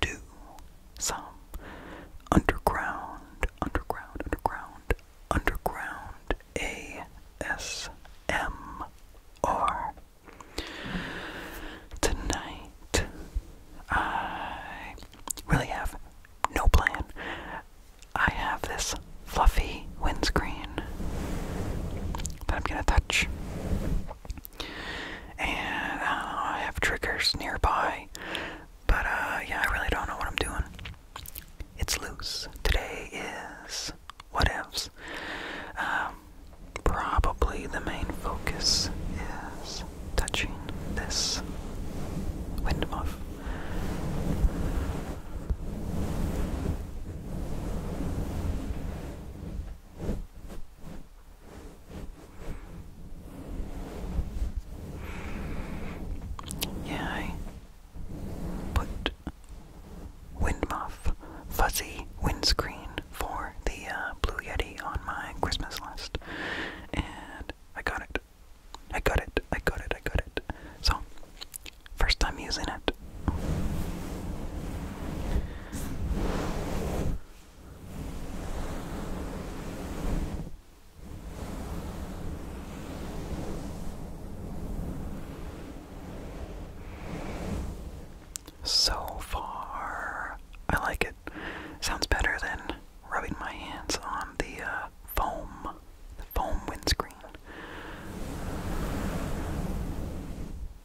do some underground, underground, underground, underground ASMR. Tonight, I really have no plan. I have this fluffy windscreen that I'm gonna touch. And uh, I have triggers nearby. But uh, yeah, I really don't know what I'm doing. It's loose. Today is what ifs. Um, probably the main focus is touching this windmuff. Yeah, I put Windmuff Fuzzy Windscreen for the uh, Blue Yeti on my Christmas list. And I got it. I got it. I got it. I got it. So, first time using it. So far, I like it. Sounds better than rubbing my hands on the uh, foam, the foam windscreen.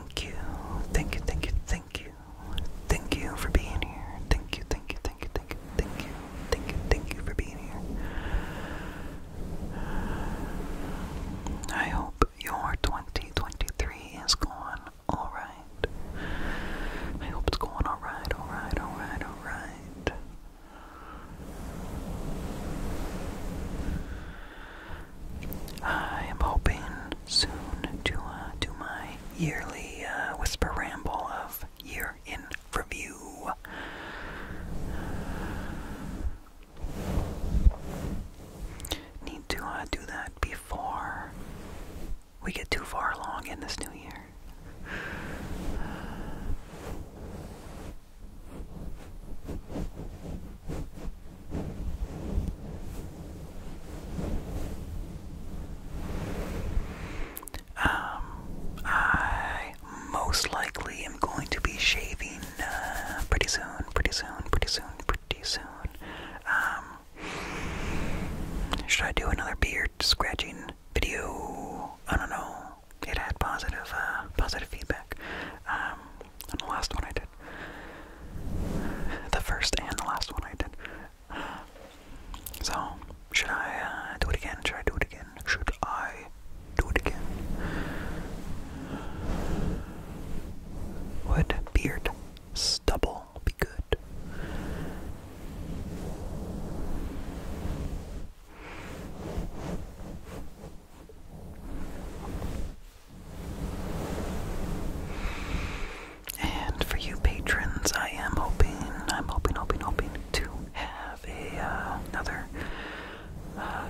Thank you, thank you, thank you, thank you, thank you for being here. Thank you, thank you, thank you, thank you, thank you, thank you, thank you for being here. I hope your 2023 is going alright. I hope it's going alright, alright, alright, alright. I am hoping soon to uh, do my yearly uh, whisper ramble of year in review. Need to uh, do that before we get too far along in this new year. Um, I most likely am going to be shaving uh, pretty soon, pretty soon, pretty soon, pretty soon. Um, should I do another beard scratching video? I don't know. It had positive, uh, positive feedback. Um, and the last one I did. The first and the last one I did. So, should I uh, do it again? Should I do it again? Should I do it again? Would beard stubble be good? And for you patrons, I am hoping, I'm hoping, hoping, hoping to have uh, another uh,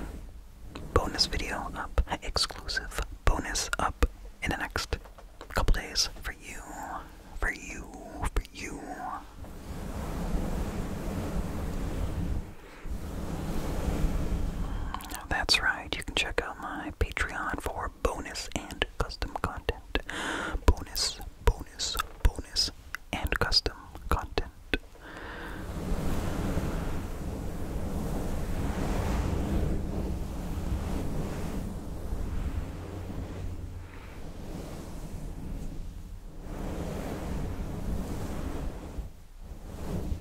bonus video up, exclusive bonus up in the next couple days for you, for you, for you. That's right, you can check out my Patreon for bonus and custom content. Bonus, bonus, bonus, and custom content.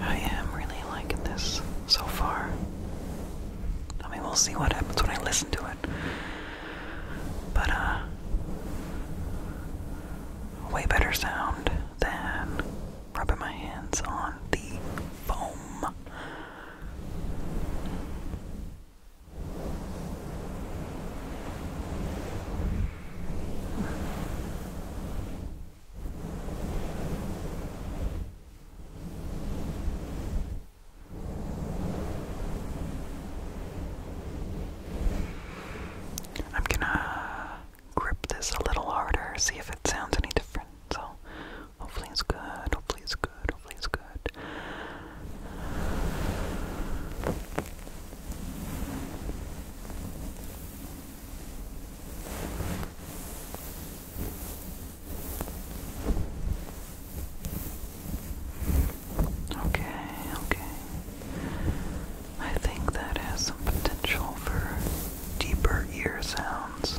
I am really liking this so far. I mean, we'll see what happens when I listen to it. But, uh, way better sound than rubbing my hands on the foam. I'm gonna grip this a little harder, see if it sounds any different. So, hopefully, it's good. Hopefully, it's good. Hopefully, it's good. Okay, okay. I think that has some potential for deeper ear sounds.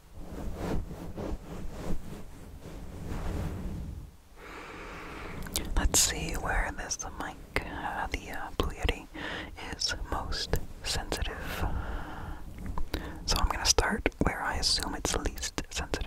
Let's see where this mic, uh, the uh, Blue Yeti, is most sensitive. So I'm going to start where I assume it's least sensitive.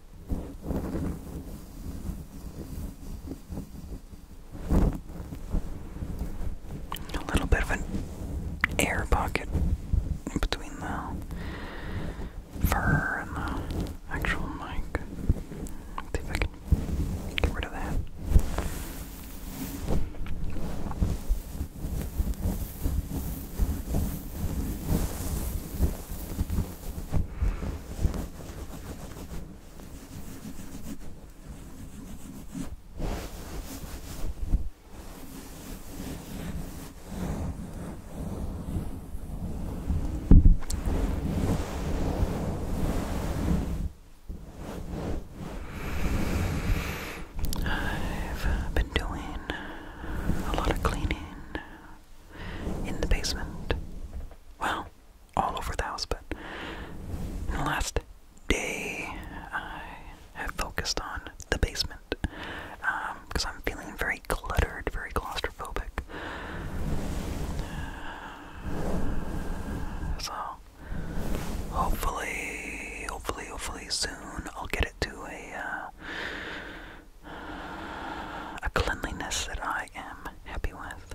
A little bit of an air pocket between the fur and the actual mic. see if I can get rid of that. I've been doing a lot of cleaning in the basement. Well, all over the house, but in the last day, I have focused on the basement because um, I'm feeling very cluttered, very claustrophobic. So, hopefully, hopefully, hopefully soon I'll get it to a uh, a cleanliness that I am happy with.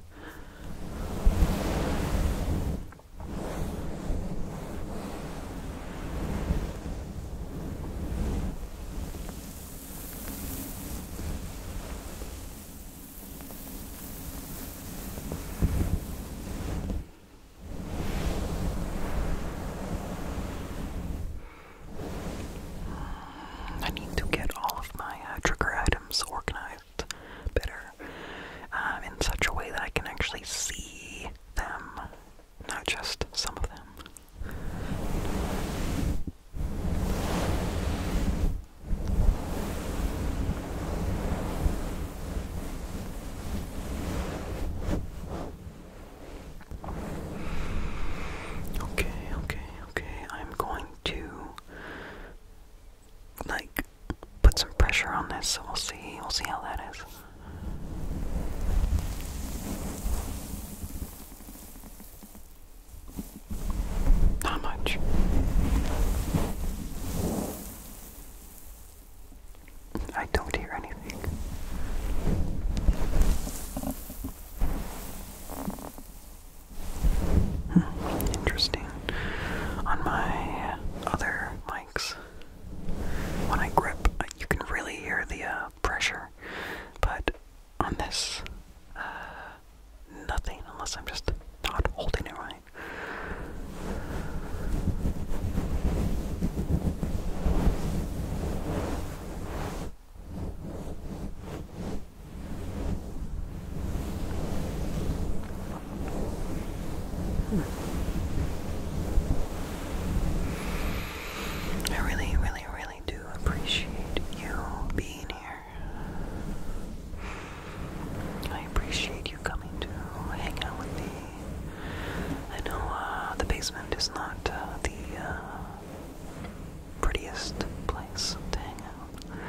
I need to get all of my uh, trigger items organized better um, in such a way that I can actually see them, not just some of them. Okay, okay, okay. I'm going to like put some pressure on this, so we'll see. We'll see how that is. Not much. I don't hear anything. Hmm, interesting. On my other mics, when I grip, you can really hear the uh, pressure, but on this, uh, nothing unless I'm just not holding it right. Hmm. I really, really, really do appreciate you being here. I appreciate you coming to hang out with me. I know uh, the basement is not uh, the uh, prettiest place to hang out.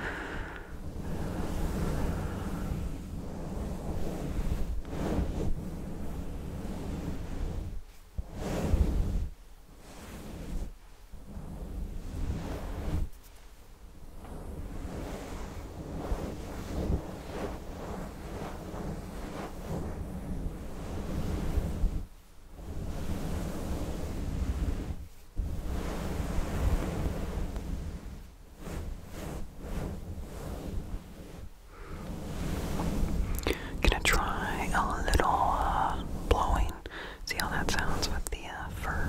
Gonna try a little uh, blowing, see how that sounds with the uh, fur.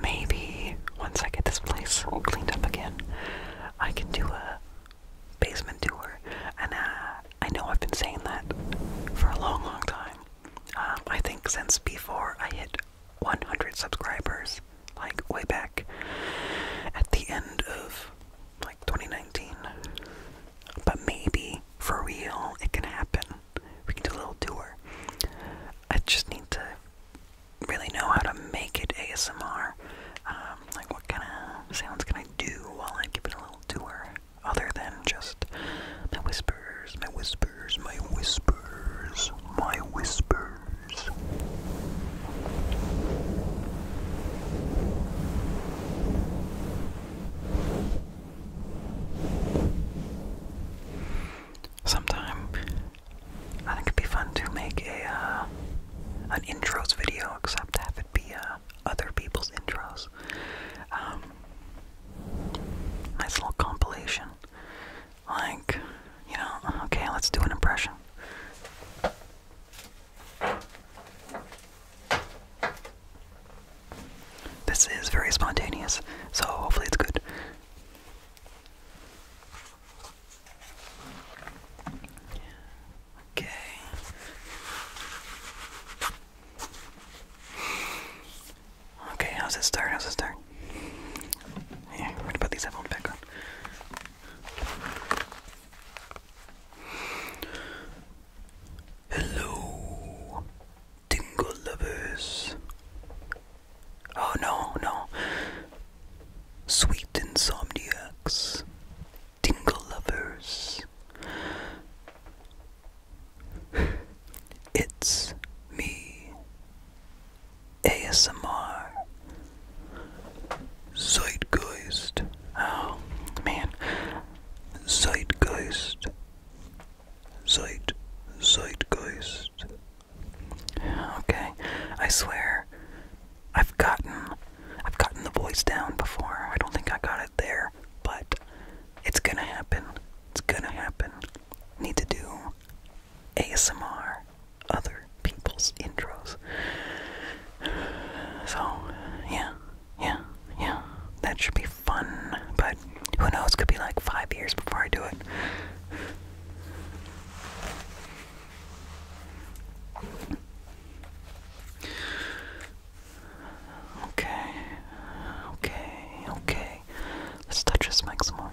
Maybe once I get this place cleaned up again, I can do a basement tour. And uh, I know I've been saying that for a long, long time. Um, I think since before I hit 100 subscribers, like way back at the end of like 2019. But maybe for real, it can happen. We can do a little tour. I just need to really know how to make it ASMR. Um, like, what kind of sounds can I do while I give it a little tour? Other than just my whispers, my whispers, my whispers, my whispers. Sometime, I think it'd be fun to make a uh, an intros video, except have it be uh, other people's intros. Um, nice little compilation. Like, you know, okay, let's do an impression. This is very spontaneous, so hopefully it's good. Okay. Okay, how's it start? How's it start? Yeah, I'm these headphones Hello, tingle lovers. Oh no, no. Sweet insomniacs, tingle lovers. It's me, ASMR, Zeitgeist. Oh man, Zeitgeist, Zeit, Zeitgeist. Okay, I swear, I've gotten, I've gotten the voice down before. I don't think I got it there, but it's gonna happen. It's gonna happen. Need to do ASMR, other people's intros. So, yeah, yeah, yeah. That should be fun, but who knows? Could be like five years before I do it. Okay, okay, okay. Let's touch this mic more.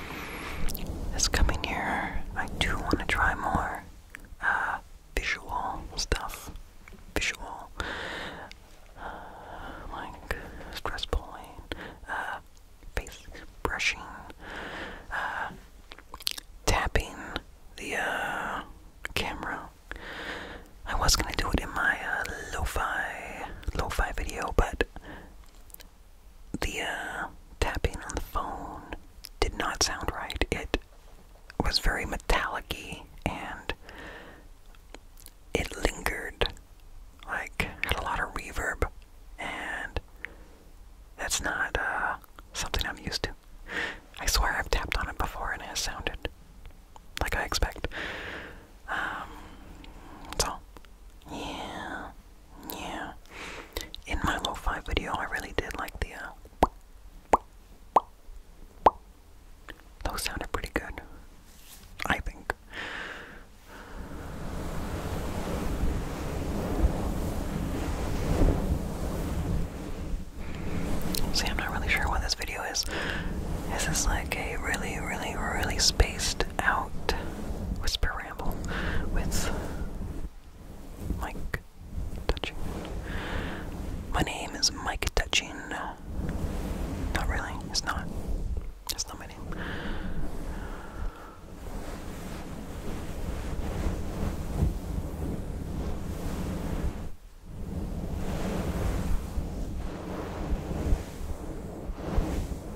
is coming here. I do want to try more uh, visual stuff. Visual. Uh, like stress pulling, uh, face brushing, uh, tapping the uh, camera. I was gonna do it in my uh, lo-fi, lo-fi video, but the uh, tapping on the phone did not sound right. It was very metallic and it lingered, like, had a lot of reverb, and that's not uh, something I'm used to. I swear I've tapped on it before and it sounded like I expect. Um, so, yeah, yeah. In my lo-fi video, I really did like the, uh, those sounded pretty good. I think. See, I'm not really sure what this video is. This is like a really, really, really spaced out whisper ramble with Mike Touching. My name is Mike Touching. Not really, it's not. It's not my name.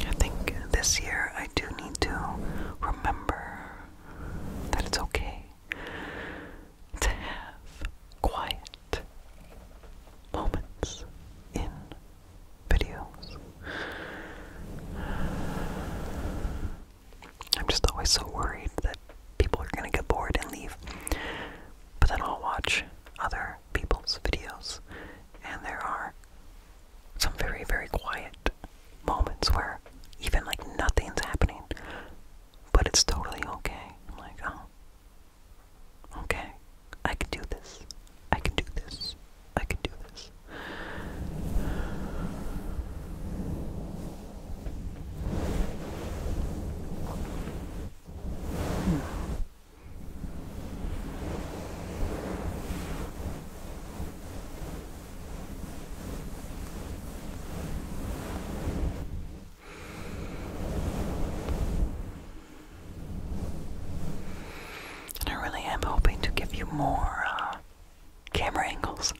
I think this year I do need to remember that it's okay to have quiet moments in videos. I'm just always so worried that people are gonna get bored and leave. But then I'll watch other people's videos, and there are some very, very quiet moments where even like nothing's happening, but it's totally okay. like, oh, okay, I can do this. I can do this. I can do this. Hmm. I really am hoping to give you more uh, camera angles.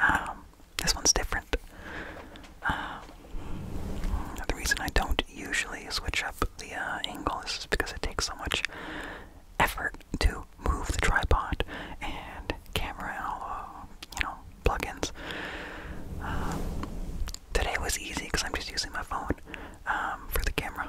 Um, this one's different. Um, the reason I don't usually switch up the uh, angle is because it takes so much effort to move the tripod and camera and all uh, you know, plugins. Um, today was easy because I'm just using my phone um, for the camera.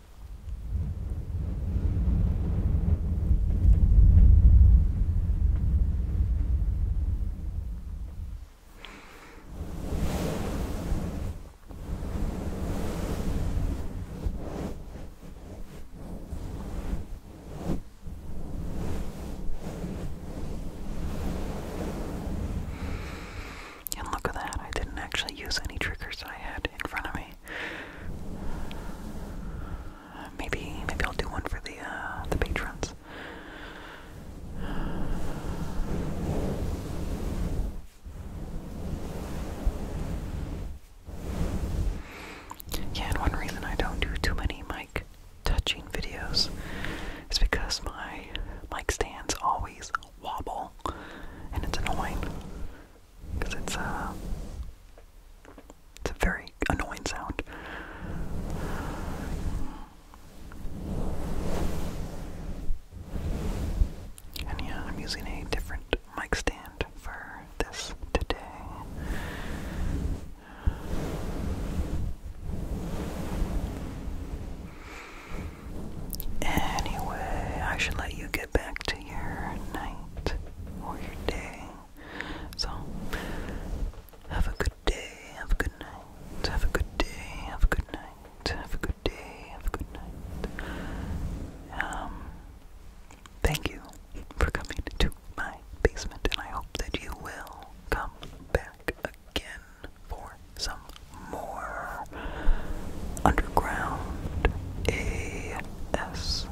And look at that, I didn't actually use any triggers I had in front of me. Maybe maybe I'll do one for the uh, the patrons. Yeah, one reason I don't do too many mic touching videos is because my mic stands always wobble and it's annoying because it's uh, it's a very annoying sound. And yeah, I'm using a different mic stand for this today. Anyway, I should let you get back to your night or your day. So, have a good day, have a good night, have a good day, have a good night, have a good day, have a good night. Um, thank you for coming to my basement, and I hope that you will come back again for some more underground ASMR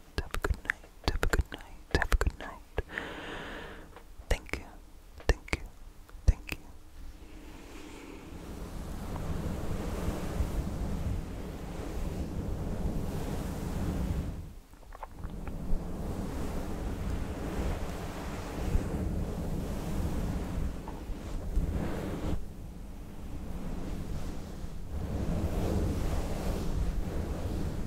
Have a good night. Have a good night. Have a good night. Thank you. Thank you. Thank you.